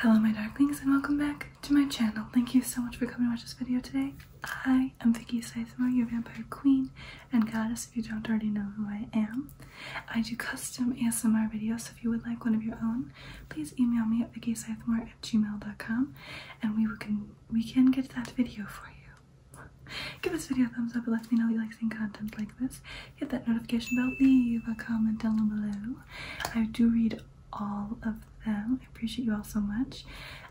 Hello my darlings, and welcome back to my channel. Thank you so much for coming to watch this video today. I am Vicky Sizemore, your vampire queen and goddess if you don't already know who I am. I do custom ASMR videos so if you would like one of your own, please email me at vickysizemore at gmail.com and we can, we can get that video for you. Give this video a thumbs up, it lets me know you like seeing content like this. Hit that notification bell, leave a comment down below. I do read all of them. I appreciate you all so much.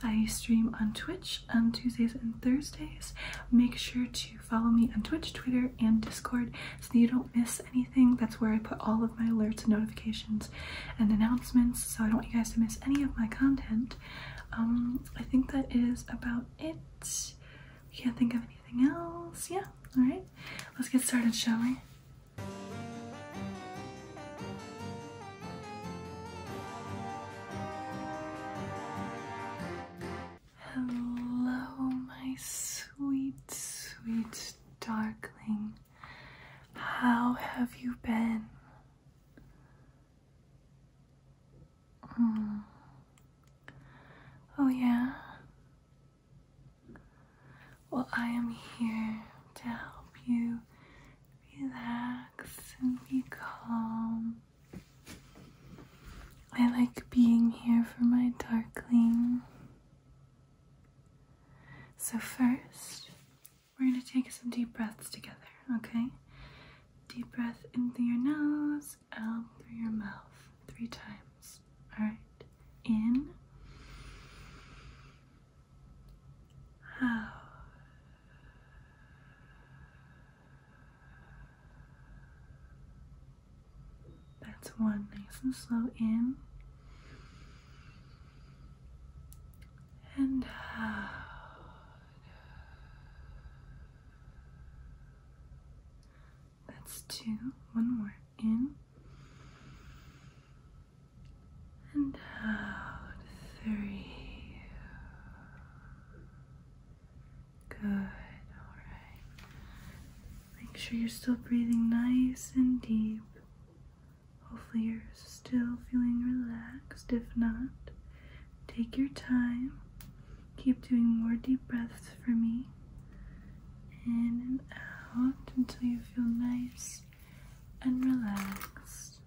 I stream on Twitch on Tuesdays and Thursdays. Make sure to follow me on Twitch, Twitter, and Discord so you don't miss anything. That's where I put all of my alerts and notifications and announcements, so I don't want you guys to miss any of my content. Um, I think that is about it. We can't think of anything else. Yeah, alright. Let's get started, shall we? Hello, my sweet, sweet darling. How have you been? Hmm. Oh, yeah. Well, I am here to help you relax and be calm. I like being here for my darkling. So, first, we're going to take some deep breaths together, okay? Deep breath in through your nose, out through your mouth, three times. All right, in, out. That's one nice and slow in and out. Uh, that's two. One more. In and out. Three. Good. Alright. Make sure you're still breathing nice and deep. Hopefully, you're still feeling relaxed. If not, take your time. Keep doing more deep breaths for me. In and out until you feel nice and relaxed.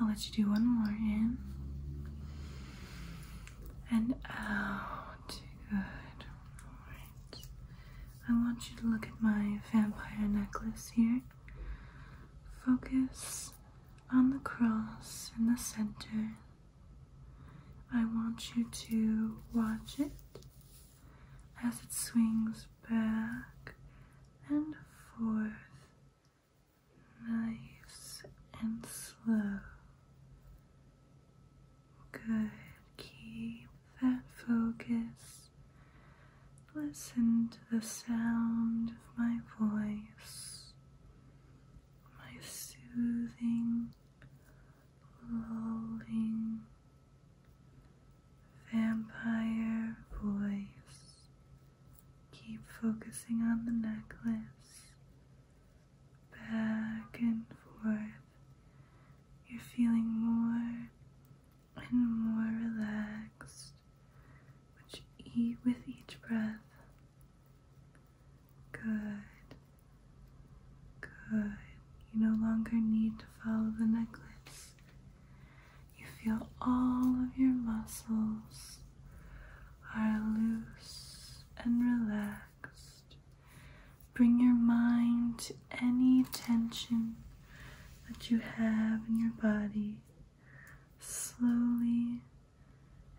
I'll let you do one more in and out. Good. Alright. I want you to look at my vampire necklace here. Focus on the cross in the center I want you to watch it as it swings back and forth, nice and slow. Good, keep that focus. Listen to the sound of my voice my soothing, lulling vampire voice. Keep focusing on the necklace, back and forth. You're feeling more and more relaxed which e with each breath. Good. Good. You no longer need to follow the necklace. You feel all of your muscles are loose and relaxed. Bring your mind to any tension that you have in your body. Slowly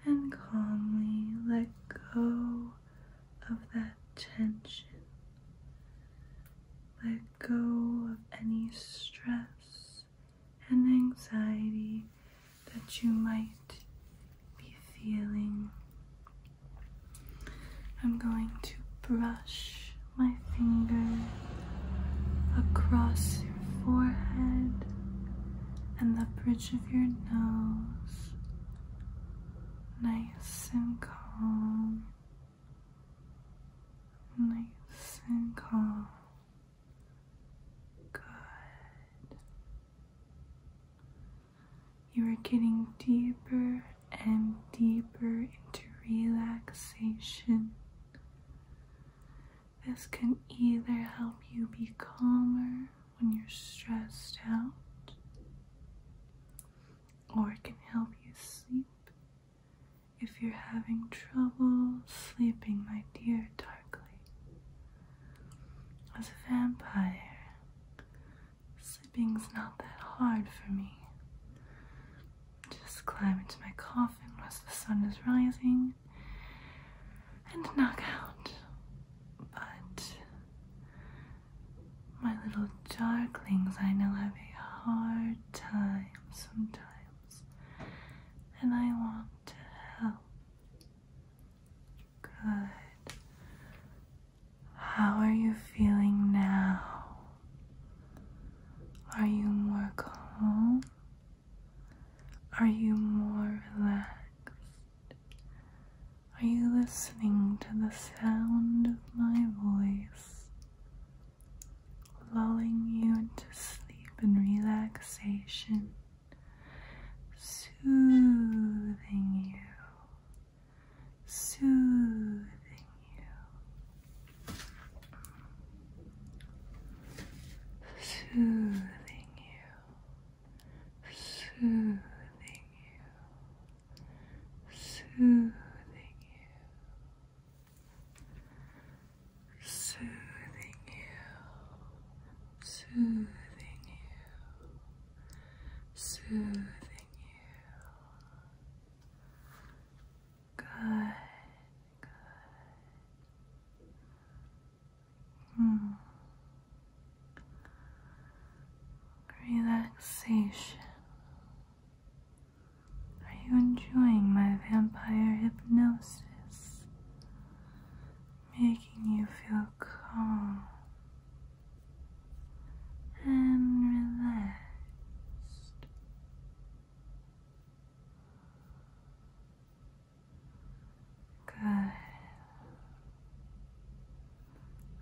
and calmly let go of that tension. Let go of any stress and anxiety that you might be feeling. I'm going to brush my finger across your forehead and the bridge of your nose, nice and calm, nice and calm. Good. You are getting deeper and deeper into relaxation. This can either help you be calmer when you're stressed out, or it can help you sleep. If you're having trouble sleeping, my dear Darkly, as a vampire, sleeping's not that hard for me. Just climb into my coffin once the sun is rising, and knock out, but my little darklings I know have a hard time sometimes, and I want to help. Good. How are you feeling now? Are you more calm? Are you more relaxed? Are you listening to the sound of my voice, lulling you into sleep and relaxation, soothing you, soothing you? soothing you, soothing you, soothing you, soothing you, soothing you, soothing you. Good. Good. Hmm. Relaxation. Are you enjoying my vampire hypnosis? Making you feel calm and relaxed. Good.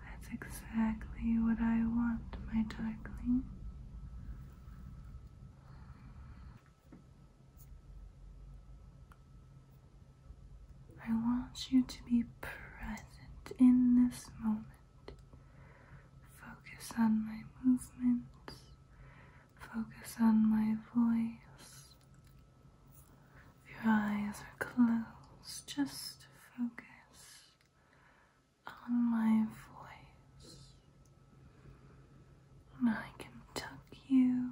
That's exactly what I want, my darling. I want you to be present in this moment. Focus on my movements, Focus on my voice. If your eyes are closed, just focus on my voice. And I can tuck you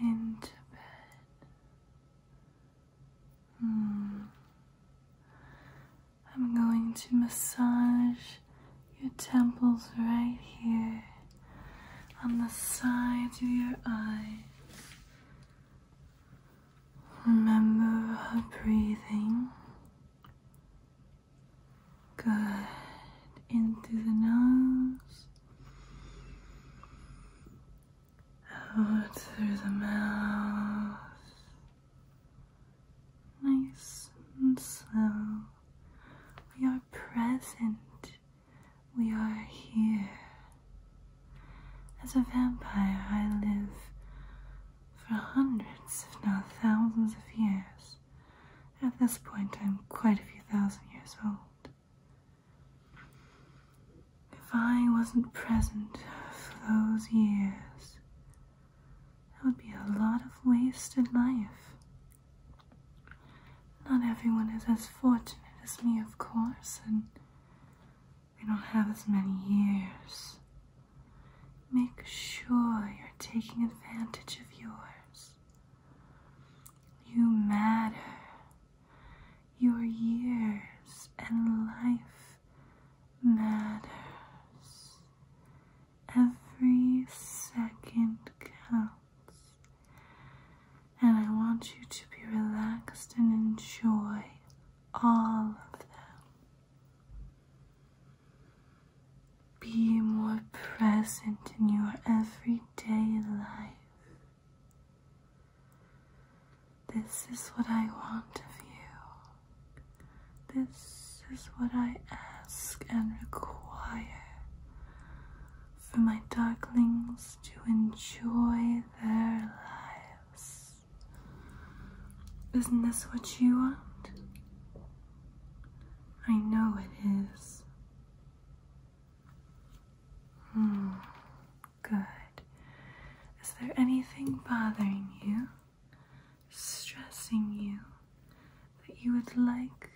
into bed. Mm. I'm going to massage your temples right here on the sides of your eyes. Remember breathing. Good. In through the nose, out through the mouth. Nice and slow. We are present. We are here. As a vampire, I live for hundreds, if not thousands, of years. At this point, I'm quite a few thousand years old. If I wasn't present for those years, that would be a lot of wasted life. Not everyone is as fortunate as me, of course, and we don't have as many years. Make sure you're taking advantage of yours. You matter. Your years and life matters. Every second counts. And I want you to be relaxed and enjoy all of them. Be more present in your everyday life. This is what I want of you. This is what I ask and require for my darklings to enjoy their lives. Isn't this what you want? I know it is. Hmm, good. Is there anything bothering you? stressing you that you would like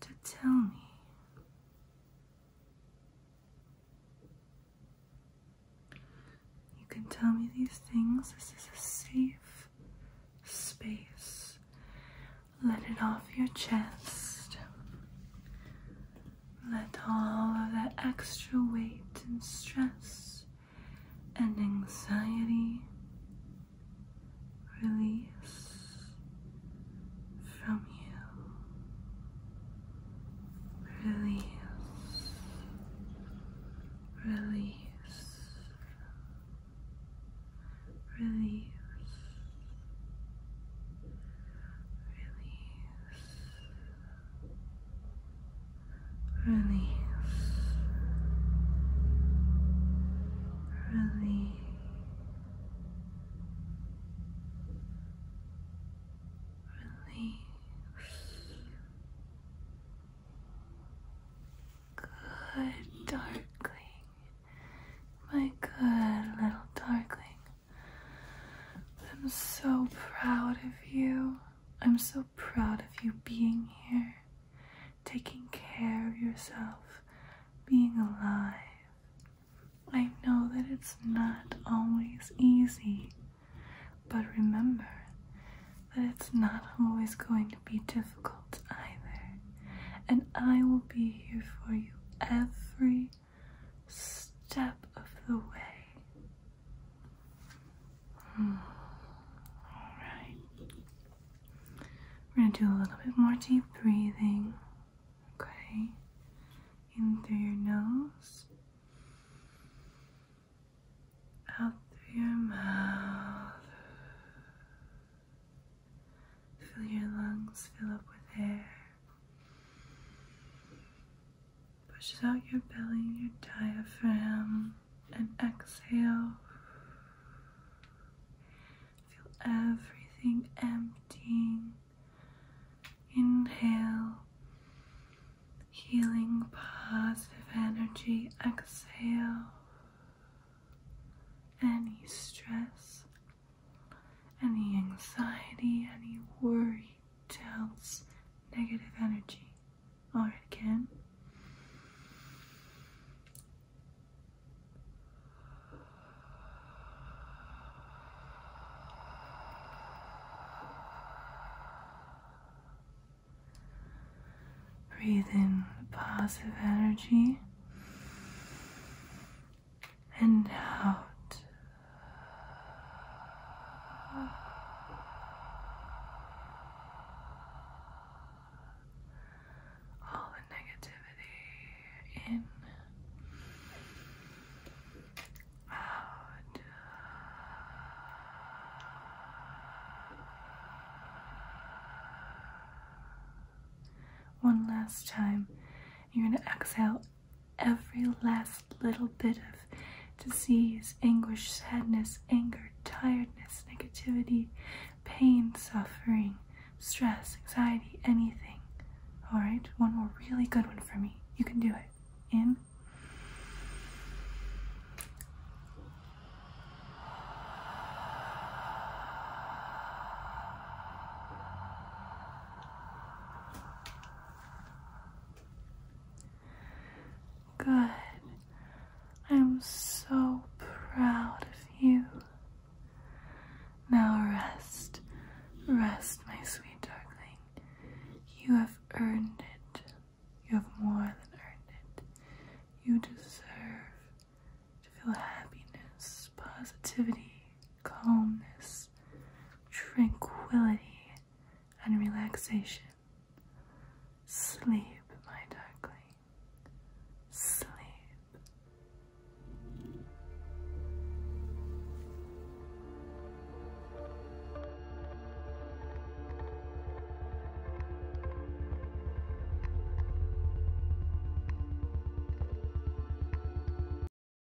to tell me. You can tell me these things. This is a safe space. Let it off your chest. Let all of that extra weight and stress and anxiety release from you. Release. Release. Release. Release. Release. Release. Release. Good darkling, my good little darkling. I'm so proud of you. I'm so proud of you being here, taking care of yourself, being alive. I know that it's not always easy, but remember that it's not always going to be difficult either, and I will be here for you every step of the way. All right. We're going to do a little bit more deep breathing. Okay. In through your nose, out through your mouth. Feel your lungs fill up with air. Pushes out your belly, your diaphragm, and exhale. Feel everything emptying. Inhale, healing positive energy. Exhale, any stress, any anxiety, any worry tells negative energy. Alright, again. Breathe in positive energy and out all the negativity in, out. One last time, you're going to exhale every last little bit of disease, anguish, sadness, anger, tiredness, negativity, pain, suffering, stress, anxiety, anything. Alright, one more really good one for me. You can do it. In. Good. I'm so proud of you. Now rest, rest, my sweet darling. You have earned it. You have more than earned it. You deserve to feel happiness, positivity, calmness, tranquility, and relaxation. Sleep, my darling. Sleep.